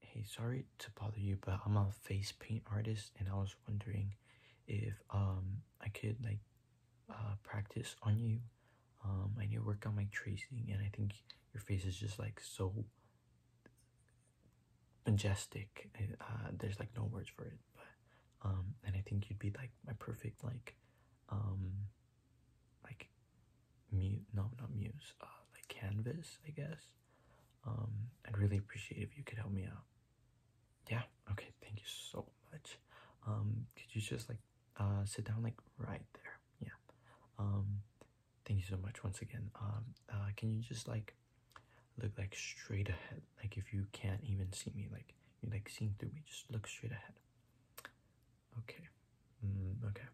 Hey, sorry to bother you, but I'm a face paint artist and I was wondering if um I could like uh, practice on you. Um I need to work on my tracing and I think your face is just like so majestic. Uh, there's like no words for it, but um and I think you'd be like my perfect like um like mute no not muse, uh like canvas, I guess. Um, I'd really appreciate if you could help me out. Yeah, okay, thank you so much. Um, could you just like uh sit down like right there? Yeah. Um, thank you so much once again. Um, uh, can you just like look like straight ahead? Like if you can't even see me, like you're like seeing through me, just look straight ahead. Okay. Mm, okay.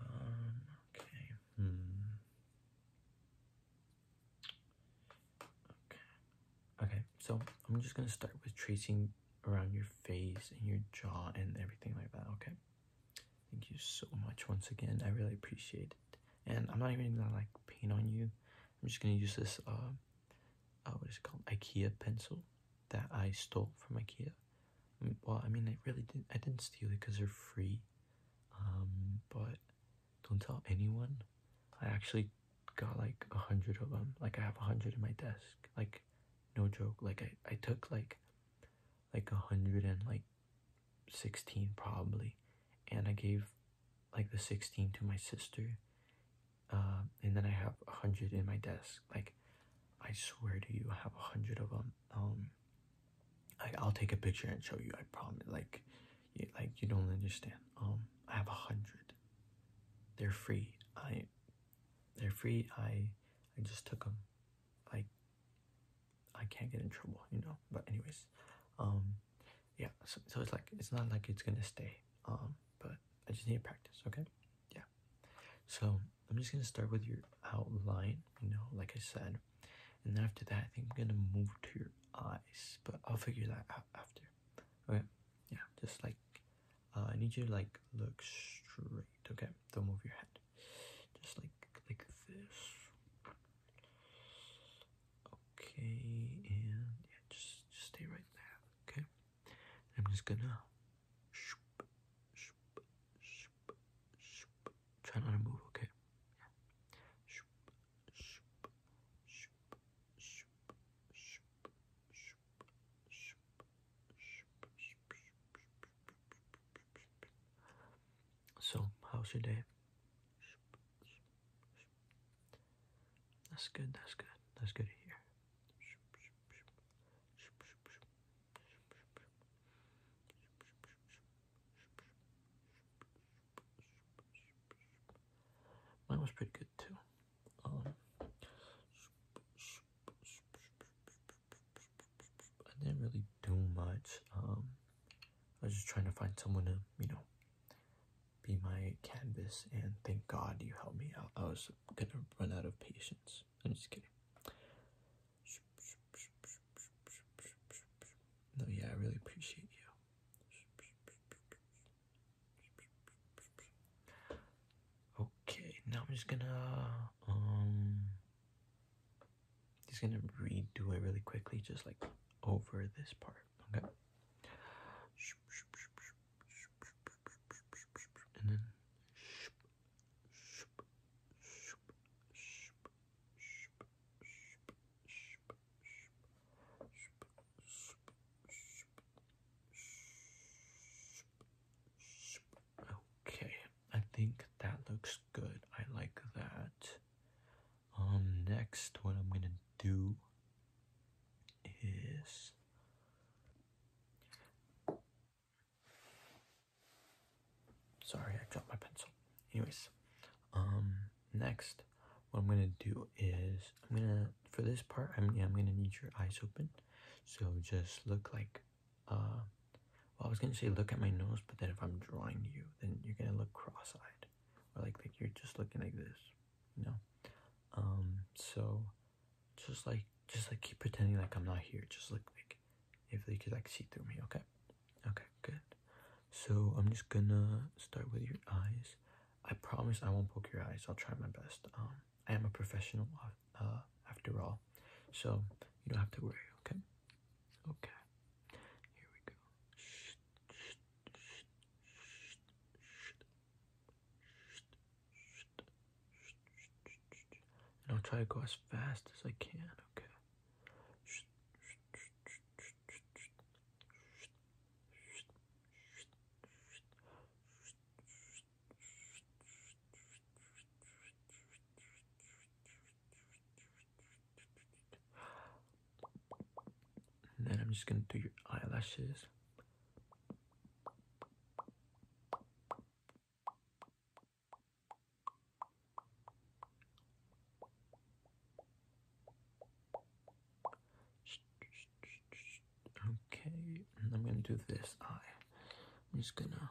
Um, okay. Hmm. Okay. Okay, so I'm just gonna start with tracing around your face and your jaw and everything like that, okay? Thank you so much once again. I really appreciate it. And I'm not even gonna like paint on you. I'm just gonna use this uh, uh what is it called? IKEA pencil that I stole from IKEA. Well, I mean, I really didn't. I didn't steal it because they're free. Um, but don't tell anyone. I actually got like a hundred of them. Like I have a hundred in my desk. Like, no joke. Like I, I took like, like a hundred and like, sixteen probably, and I gave, like the sixteen to my sister. Uh, and then I have a hundred in my desk. Like, I swear to you, I have a hundred of them. Um, like I'll take a picture and show you. I promise. Like, you, like you don't understand. Um, I have a hundred. They're free. I, they're free. I, I just took them. Like, I can't get in trouble, you know. But anyways, um, yeah. So, so it's like it's not like it's gonna stay. Um, but I just need to practice, okay? Yeah. So I'm just gonna start with your outline, you know, like I said. And then after that, I think I'm gonna move to your eyes, but I'll figure that out after. Okay? Yeah, just like uh, I need you to like look straight, okay? Don't move your head. Just like like this. Okay, and yeah, just, just stay right there, okay? I'm just gonna try not to move, okay? So, how's your day? That's good, that's good, that's good to hear. Mine was pretty good too. Um, I didn't really do much. Um, I was just trying to find someone to, you know, be my canvas and thank God you helped me out just gonna run out of patience. I'm just kidding. No, yeah, I really appreciate you. Okay, now I'm just gonna um just gonna redo it really quickly, just like over this part. Okay and then Okay, I think that looks good. I like that. Um, next, what I'm gonna do is Sorry, I dropped my pencil. Anyways, um, next, what I'm gonna do is I'm gonna for this part I'm I'm gonna need your eyes open. So just look like uh well I was gonna say look at my nose, but then if I'm drawing you, then you're gonna look cross-eyed. Or like like you're just looking like this you um so just like just like keep pretending like i'm not here just like, like if they could like see through me okay okay good so i'm just gonna start with your eyes i promise i won't poke your eyes i'll try my best um i am a professional uh after all so you don't have to worry okay okay here we go and I'll try to go as fast as I can, okay? And then I'm just gonna do your eyelashes. Okay, and I'm gonna do this eye. I'm just gonna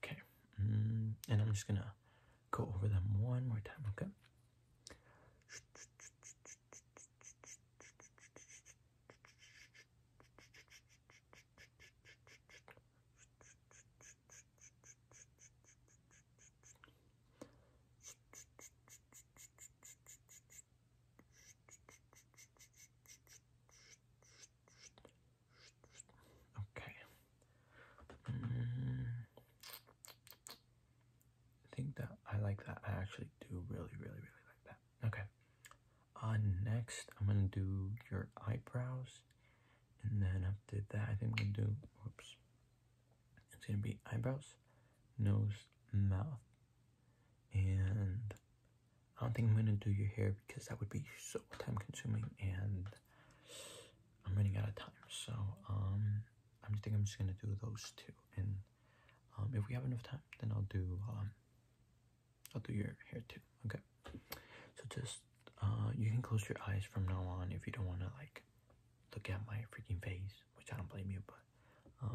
Okay, mm, and I'm just gonna go over them one more time, okay? Okay. Mm. I think that I like that. I actually do really, really, really like that. Okay. Uh, next, I'm gonna do your eyebrows, and then after that, I think I'm gonna do. Whoops. It's gonna be eyebrows, nose, mouth, and I don't think I'm gonna do your hair because that would be so time consuming and I'm running out of time. So I'm um, just think I'm just gonna do those two, and um, if we have enough time, then I'll do um, I'll do your hair too. Okay. So just uh, you can close your eyes from now on if you don't wanna like look at my freaking face, which I don't blame you, but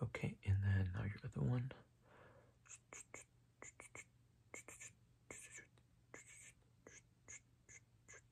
Okay, and then now your other one.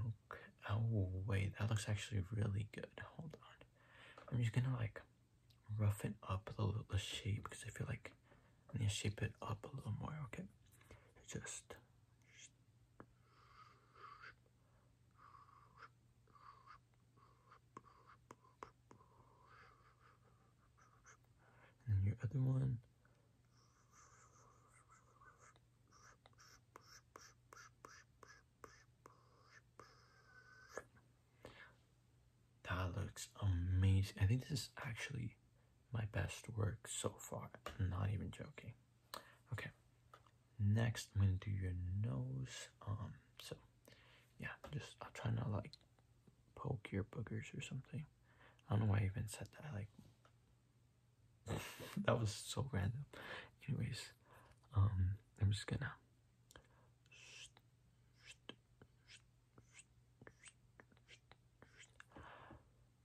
Okay. Oh, wait. That looks actually really good. Hold on. I'm just gonna like roughen up the, shape because I feel like I need to shape it up a little more. Okay. Just. And your other one. That looks amazing. I think this is actually my best work so far. not even joking. Okay. Next, I'm gonna do your nose. Um, so yeah, just i am trying not like poke your boogers or something. I don't know why I even said that. Like that was so random. Anyways, um, I'm just gonna.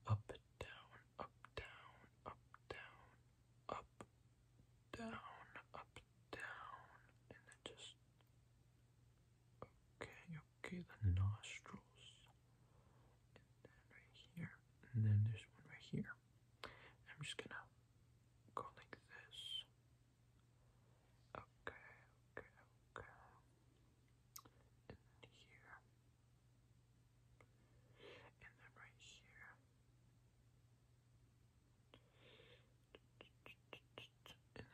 Up, down, up, down, up, down, up, down, up, down, and then just. Okay, okay, the nostrils and right here, and then there's one right here. I'm just gonna go like this. Okay, okay, okay. And then here. And then right here. And then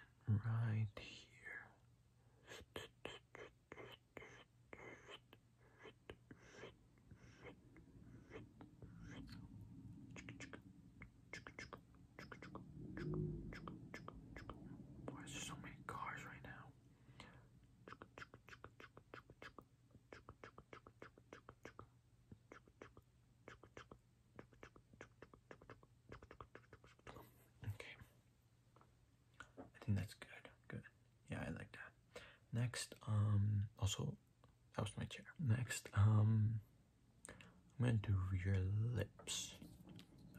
right here. Why is there so many cars right now? Okay. I think that's good. Good. Yeah, I like that. Next, um, also, that was my chair. Next, um, I'm gonna do your lips.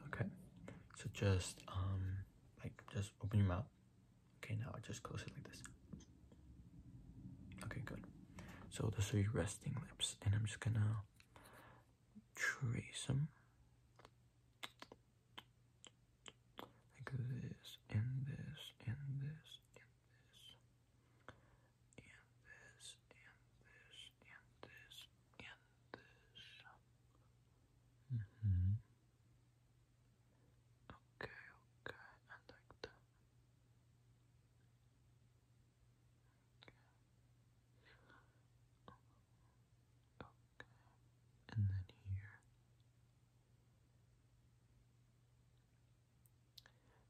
Okay. So just, um, like, just open your mouth. Okay, now just close it like this. Okay, good. So those are your resting lips, and I'm just gonna trace them like this, and this, and this, and this, and this, and this, and this, and this. Mm hmm. Okay, okay, I and then here,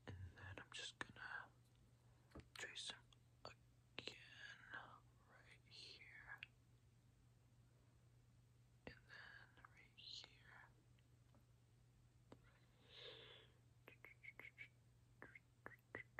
and then I'm just gonna trace them again right here, and then right here.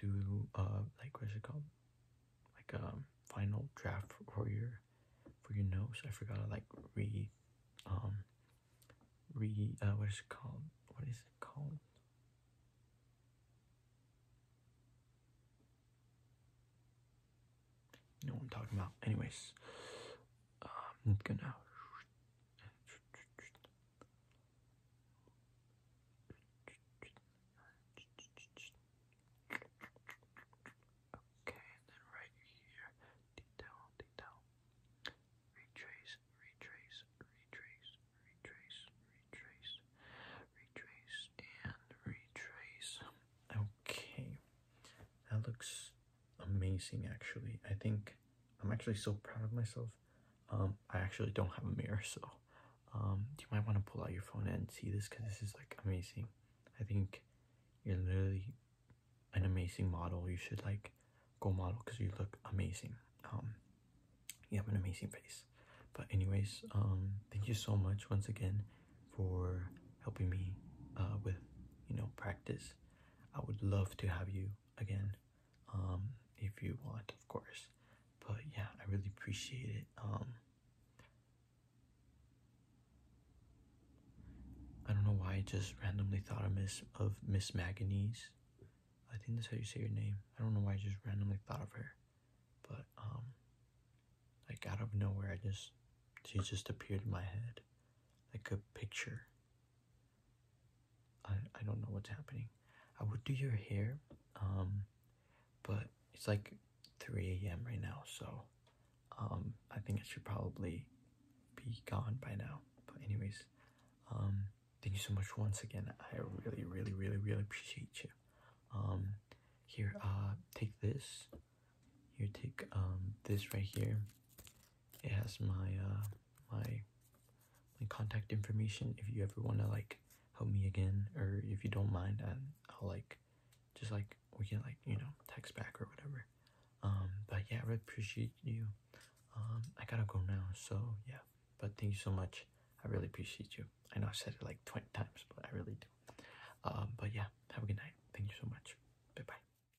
do uh like what's it called like a um, final draft for your for your notes. i forgot to like re um re uh what is it called what is it called you i'm talking about anyways um, gonna Okay, and then right here, detail, detail. Retrace, retrace, retrace, retrace, retrace, retrace, and retrace. Okay, that looks amazing actually. I think I'm actually so proud of myself um, I actually don't have a mirror, so um, you might want to pull out your phone and see this because this is like amazing. I think you're literally an amazing model. You should like go model because you look amazing. Um, you have an amazing face. But anyways, thank you so much once again for helping me uh, with you know practice. I would love to have you again um, if you want, of course. But yeah, I really appreciate it. Um, I don't know why I just randomly thought of Miss of Miss Manganese. I think that's how you say your name. I don't know why I just randomly thought of her, but um, like out of nowhere, I just she just appeared in my head, like a picture I, I don't know what's happening. I would do your hair, um, but it's like 3 a.m. right now, so um, I think it should probably be gone by now. But anyways, um, thank you so much once again. I really, really, really, really appreciate you. Um, here, uh, take this. Here, take um, this right here. It has my uh, my my contact information if you ever want to like help me again or if you don't mind and I'll like just like we can like you know text back or whatever um but yeah I really appreciate you um I gotta go now so yeah but thank you so much I really appreciate you I know I've said it like 20 times but I really do um but yeah have a good night thank you so much bye bye